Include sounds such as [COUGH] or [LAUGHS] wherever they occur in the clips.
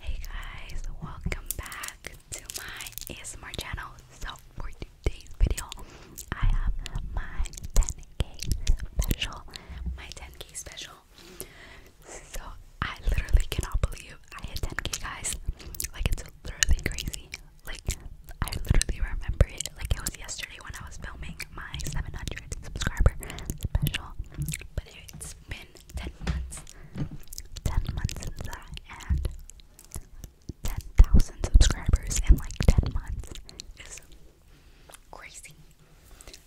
Hey guys, welcome back to my ASMR channel. So for today's video, I have my 10k special, my 10k special. So I literally cannot believe I hit 10k guys. Like it's literally crazy. Like I literally remember it like it was yesterday when I was filming my 700 subscriber special. But it's been 10 months, 10 months into that, and 10,000 subscribers in like 10 months is crazy.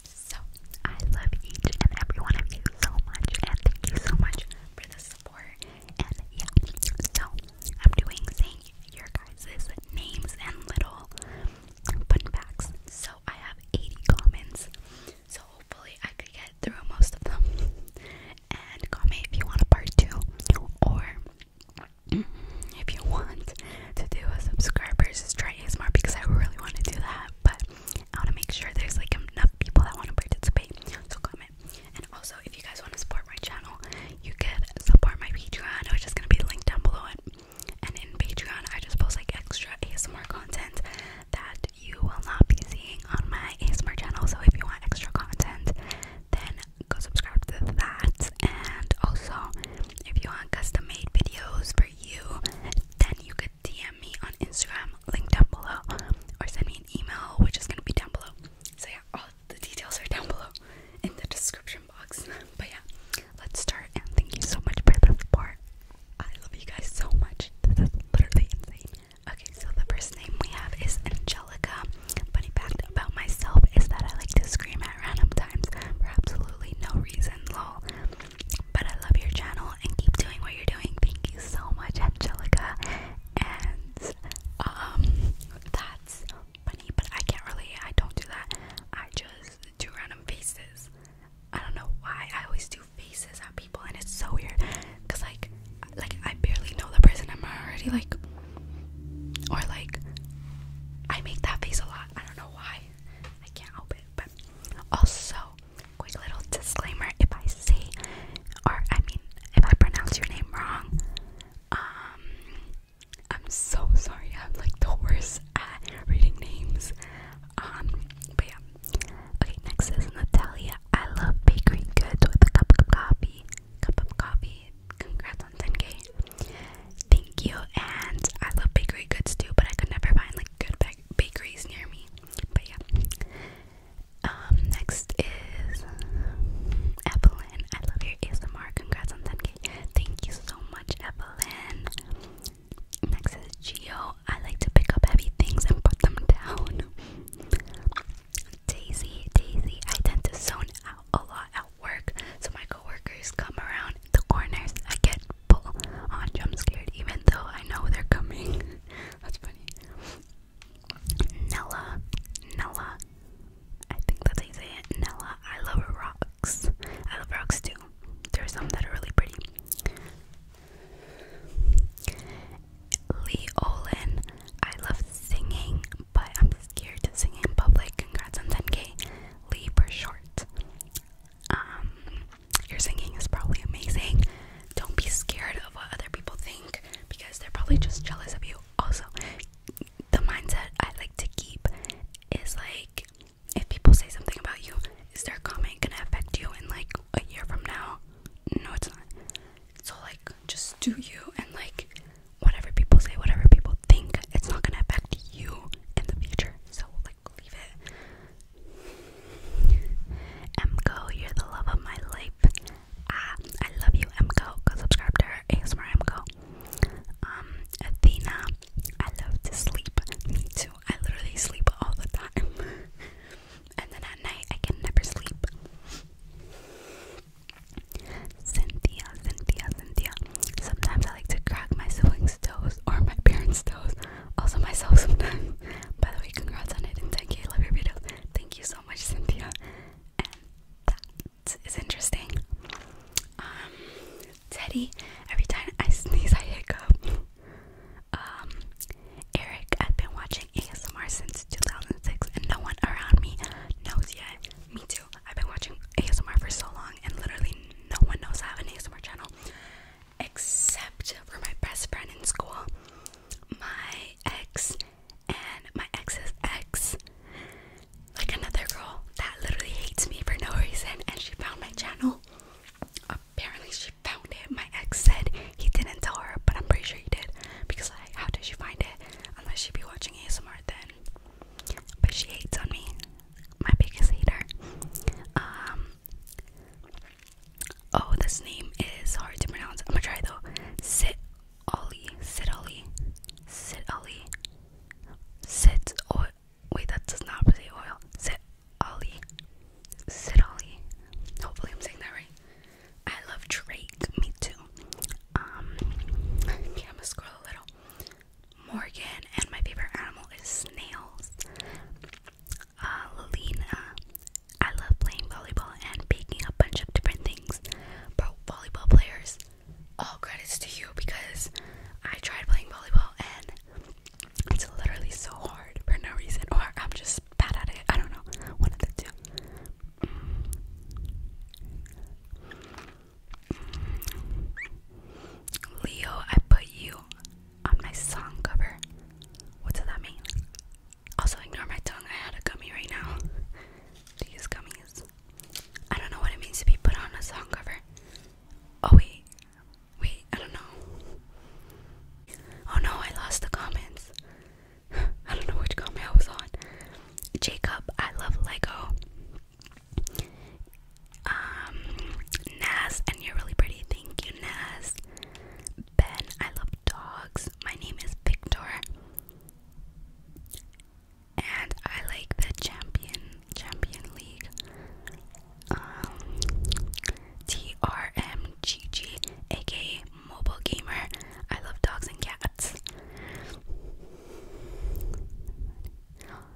So, I love each and every one of you so much, and thank you so much for the support. And yeah, so I'm doing saying your guys' names and little fun facts. So, I have 80 comments. So hopefully I could get through most of them. And comment if you want a part two, or mm, if you want to do a subscribers is try smart because I really want to do that. But I want to make sure there's like enough people that want to participate. So comment. And also, if you guys want to support my channel, you could support my Patreon, which just gonna be linked down below. And and in Patreon, I just post like extra ASMR content that you will not be seeing on my ASMR channel. So if you want extra content, then go subscribe to that. And also, if you want custom made videos for you, then you could DM me on Instagram, link down below, or send me an email, which is gonna be down below. So yeah, all the details are down below in the description box. [LAUGHS] But yeah, let's start and thank you so much for the support. I love you guys so much. That's literally insane. Okay, so the first name we have is Angelica. Funny fact about myself is that I like to scream at random times for absolutely no reason, lol. But I love your channel and keep doing what you're doing. Thank you so much, Angelica. And um that's funny, but I can't really I don't do that. I just do random faces. I don't know why I always do faces at people and it's so weird because like like I barely know the person I'm already like or like I make that face a lot. I don't know why. I can't help it. But also, quick little disclaimer if I say or I mean if I pronounce your name wrong, um I'm so sorry. I'm like the worst at reading names. Um, but yeah. Okay, next is Natalia. I love bakery goods with a cup of coffee. Cup of coffee. Congrats on 10k. Thank you. And I love bakery goods too, but I could never find like good bakeries near me. But yeah. Um, next is Evelyn. I love your ASMR. Congrats on 10k. Thank you so much, Evelyn. Next is Geo. I like to pick up heavy things and put them down. Daisy, Daisy. I tend to zone out a lot at work, so my coworkers come around the corners. I get pulled on jump scared, even though I know they're coming. [LAUGHS] that's funny. Nella, Nella. I think that's how you say it. Nella. I love a rock rocks. I love rocks too. There's some that are really pretty. Lee Olin, I love singing, but I'm scared to sing in public. Congrats on 10k. Lee for short. Um, your singing is probably amazing. Don't be scared of what other people think because they're probably just jealous of you. Also, the mindset I like to keep is like if people say something about you, is their comment gonna affect you in like a year from now? No, it's not. So like, just do you and like whatever people say, whatever people think, it's not gonna affect you in the future. So like, leave it. Emco, you're the love of my life. Ah, I love you, Emco. Go subscribe to ASMR Emco. Um, Athena, I love to sleep. Me too. I literally sleep all the time. [LAUGHS] and then at night, I can never sleep. Cynthia, Cynthia, Cynthia. Sometimes I like to crack my siblings' toes or my parents' toes. Also myself sometimes. [LAUGHS] By the way, congrats on it and 10k. Love your videos. Thank you so much, Cynthia. It's interesting. Um, Teddy, every time I sneeze, I hiccup. Um, Eric, I've been watching ASMR since 2006, and no one around me knows yet. Me too. I've been watching ASMR for so long, and literally no one knows I have an ASMR channel, except for my best friend in school, my ex, and my ex's ex like another girl that literally hates me for no reason and she found my channel. Apparently she found it. My ex said he didn't tell her, but I'm pretty sure he did. Because like how did she find it? Unless she be watching ASMR then. But she hates on me. My biggest hater. Um Oh, this name is hard to pronounce. I'm gonna try though. Sit Ollie. Sit Ollie. Sit Ollie. Sit oil. Wait, that does not say oil. Sit Ollie. Sit Ollie. Hopefully, I'm saying that right. I love Drake. Me too. Um, yeah, I'm gonna scroll a little. Morgan and my favorite animal is snails. Uh, Lena. I love playing volleyball and picking a bunch of different things. Bro, volleyball players all credits to you because I tried playing volleyball and it's literally so hard for no reason, or I'm just bad at it. I don't know. One of the two. Leo, I put you on my song cover. What does that mean? Also, ignore my tongue. I had a gummy right now. Do [LAUGHS] gummies? I don't know what it means to be put on a song cover. Oh, wait. Wait, I don't know. Oh no, I lost the comments. [LAUGHS] I don't know which comment I was on. Jacob, I love Lego. Um, Naz, and you're really pretty. Thank you, Nas. Ben, I love dogs. My name is Victor and I like the champion champion league um TRMGG aka mobile gamer I love dogs and cats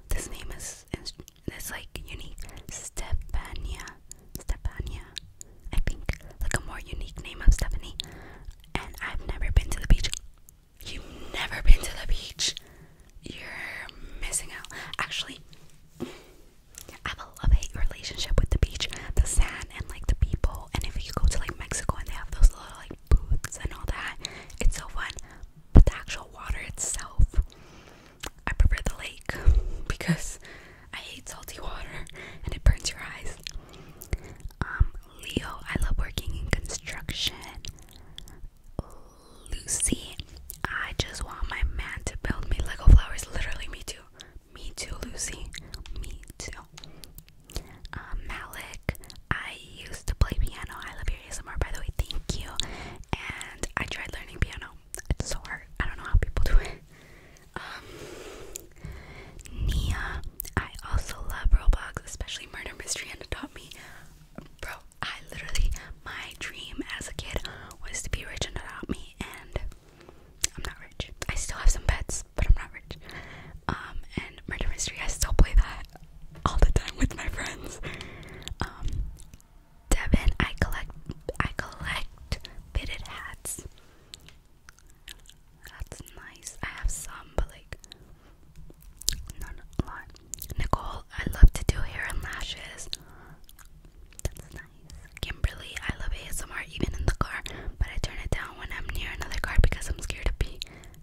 this name is it's like unique Stefania Stefania I think like a more unique name of Stephanie and I've never been to the beach You've never been to the beach. You're missing out. Actually, I have a love hate relationship with the beach, the sand, and like the people. And if you go to like Mexico and they have those little like booths and all that, it's so fun. But the actual water itself, I prefer the lake [LAUGHS] because I hate salty water and it burns your eyes. Um, Leo, I love working in construction. Lucy, I just want my man to build me Lego flowers. Literally, me too. Me too, Lucy. Me too. Um, Malik, I used to play piano. I love your ASMR, by the way. Thank you. And I tried learning piano. It's so hard. I don't know how people do it. Um, Nia. I also love Roblox, especially Murder Mystery and Adopt Me. Bro, I literally, my dream as a kid was to be rich and adopt me, and I'm not rich. I still have some pets, but I'm not rich. Um, and Murder Mystery, I still play that all the time with my friends. Um, Devin, I collect, I collect fitted hats. That's nice. I have some, but like, not a lot. Nicole, I love to do hair and lashes. That's nice. Kimberly, I love ASMR even in the car, but I turn it down when I'm near another car because I'm scared of being,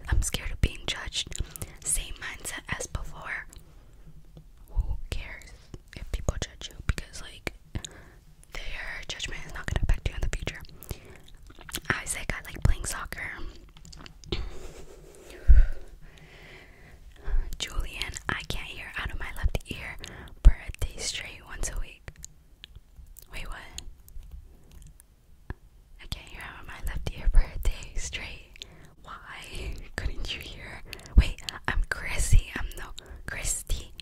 I'm scared of being judged. Same mindset as before. Who cares if people judge you? Because like, their judgment is not gonna affect you in the future. Isaac, I like playing soccer. Julian, I can't hear out of my left ear. Birthday straight once a week. Wait, what? I can't hear out of my left ear. Birthday straight. Why [LAUGHS] couldn't you hear? Wait, I'm Chrissy. I'm not Christy.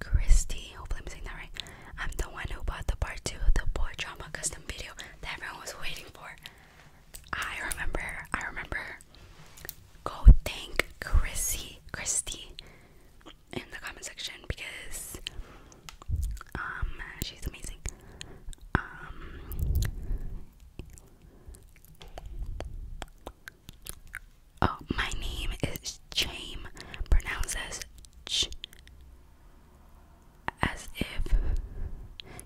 Christy, hopefully I'm saying that right. I'm the one who bought the part two of the boy drama custom video that everyone was waiting for. I remember, I remember. Go thank Christy, Christy in the comment section because um she's amazing. Um Oh, my name is Chame, pronounced as ch, as if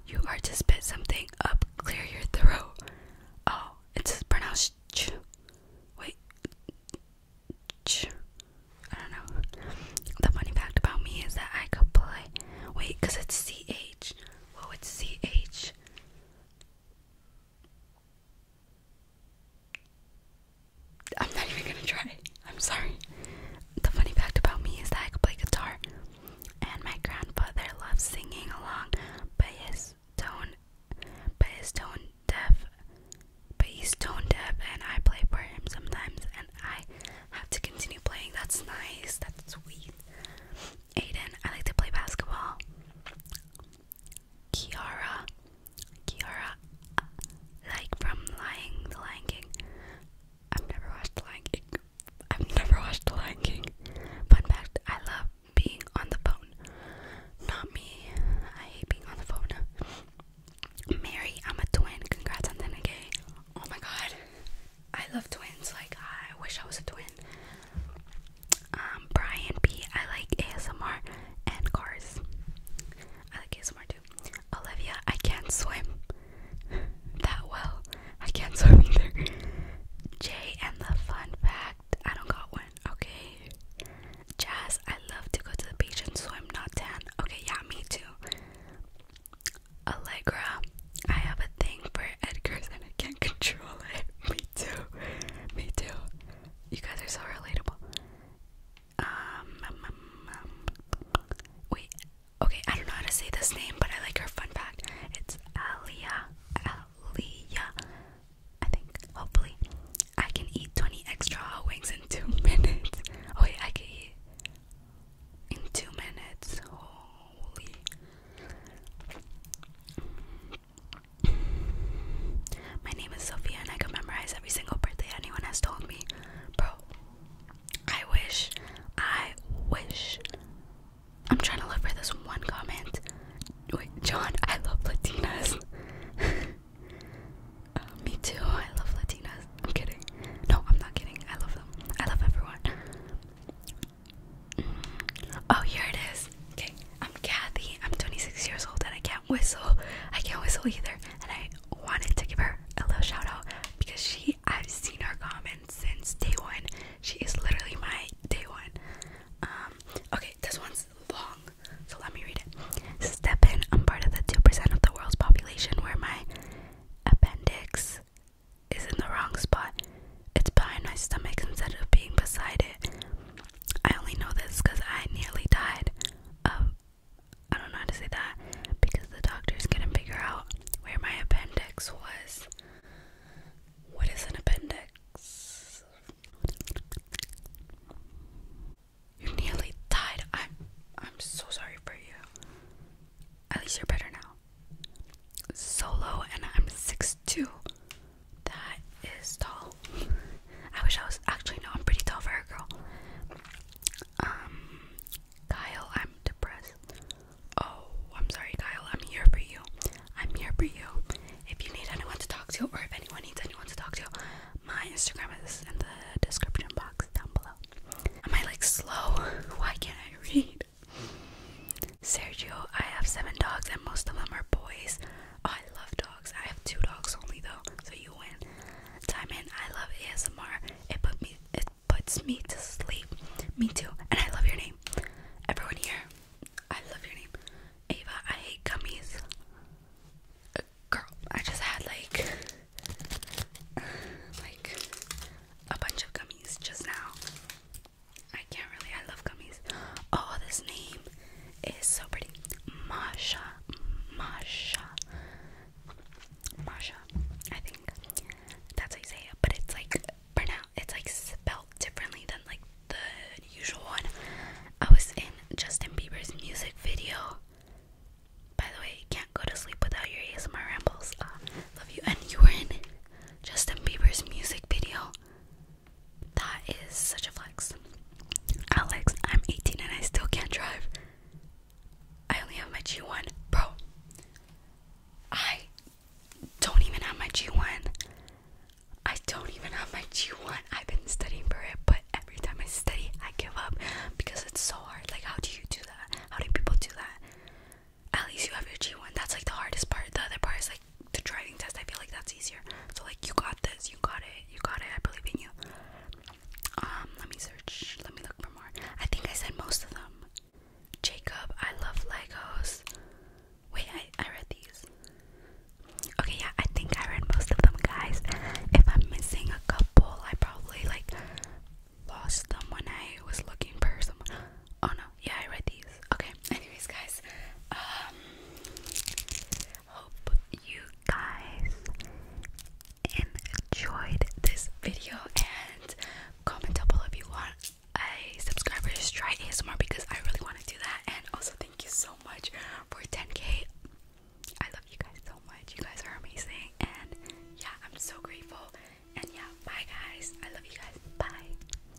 you are to spit something up, clear your throat. Oh, it's pronounced ch. Wait, ch. I don't know. The funny fact about me is that I could play. Wait, because it's ch. Whoa, oh, it's ch. I'm not even gonna try. I'm sorry. The funny fact about me is that I can play guitar, and my grandfather loves singing along, but his tone, but his tone deaf, but he's tone deaf, and I play for him sometimes, and I have to continue playing. That's nice. That's sweet. Aiden, I like to play basketball. Kiara, Kiara, like from Lying, The Lion King. I've never watched The Lion King. I've never watched The Lion King. Fun fact, I love being on the phone. Not me. I hate being on the phone. Mary, I'm a twin. Congrats on that, okay? Oh my god. I love twins. Like, I wish I was a twin. Um, Brian B. I like ASMR and cars. I like ASMR too. Olivia, I can't swim [LAUGHS] that well. I can't [LAUGHS] swim either. Jay and the fun fact. I don't got one. Okay. Jazz, I love to go to the beach and swim, not tan. Okay, yeah, me too. Allegra, I have a thing for Edgar's and I can't [LAUGHS] control it. Me too. Me too. You guys are so relatable. Um, um, um, um, wait, okay, I don't know how to say this name, but I like her fun fact. It's Aliyah, Aliyah, I think, hopefully. I can eat 20 extra wings in two [LAUGHS] minutes. Oh, wait, I can eat in two minutes. Holy. My name is Sophia, and I can memorize every single birthday anyone has told me. Bro, I wish, I wish. I'm trying to look for this one comment. Wait, John, I love Latinas. [LAUGHS] Uh, me too, I love Latinas. I'm kidding. No, I'm not kidding. I love them. I love everyone. Mm. Oh, here it is. Okay, I'm Kathy. I'm 26 years old and I can't whistle. I can't whistle either. And I wanted to give her a little shout out because she, I've seen her comments since day one. She is literally my day one. Um, okay, this one's long, so let me read it. Step in, I'm part of the 2% of the world's population where my appendix is in the wrong spot. It's behind my stomach instead of being beside it. I only know this because I nearly died of. I don't know how to say that because the doctors couldn't figure out where my appendix was. What is an appendix? You nearly died. I'm I'm so sorry for you. At least you're better now. Solo and I'm 6'2 two. That is tall. I wish I was actually no, I'm pretty tall for a girl. Um Kyle, I'm depressed. Oh, I'm sorry, Kyle, I'm here for you. I'm here for you. If you need anyone to talk to or if anyone needs anyone to talk to, my Instagram is in the description box down below. Am I like slow? [LAUGHS] Why can't I read? Sergio, I have seven dogs and most of them are boys. I love dogs. I have two dogs only though, so you win. Diamond, I love ASMR. It put me it puts me to sleep. Me too. And I love your name. Everyone here, I love your name. Ava, I hate gummies. Uh, girl, I just had like like a bunch of gummies just now. I can't really. I love gummies. Oh, this name is so pretty. Masha, Masha, Masha. I think that's how you say it. But it's like pronounced. It's like spelled differently than like the usual one. I was in Justin Bieber's music video. By the way, you can't go to sleep without your ASMR rambles. Uh, love you. And you were in Justin Bieber's music video. That is such a flex. Alex, I'm 18 and I still can't drive. I only have my G1. Bro, I don't even have my G1. I don't even have my G1. I've been studying for it, but every time I study, I give up because it's so hard. Like, how do you do that? How do people do that? At least you have your G1. That's like the hardest part. The other part is like, the driving test, I feel like that's easier. So like you got this, you got it, you got it, I believe in you. Um, let me search, let me look for more. I think I said most of them. Jacob, I love Legos. Wait, I, I read these. Okay, yeah, I think I read most of them, guys. If I'm missing a couple, I probably like lost them when I was looking for some. Oh no, yeah, I read these. Okay, [LAUGHS] anyways, guys, um, hope you guys enjoyed this video and comment down below if you want a subscriber subscriber's try ASMR because I really want to do that. And also, thank you so much for 10k. I love you guys so much. You guys are amazing, and yeah, I'm so grateful. And yeah, bye guys. I love you guys. Bye.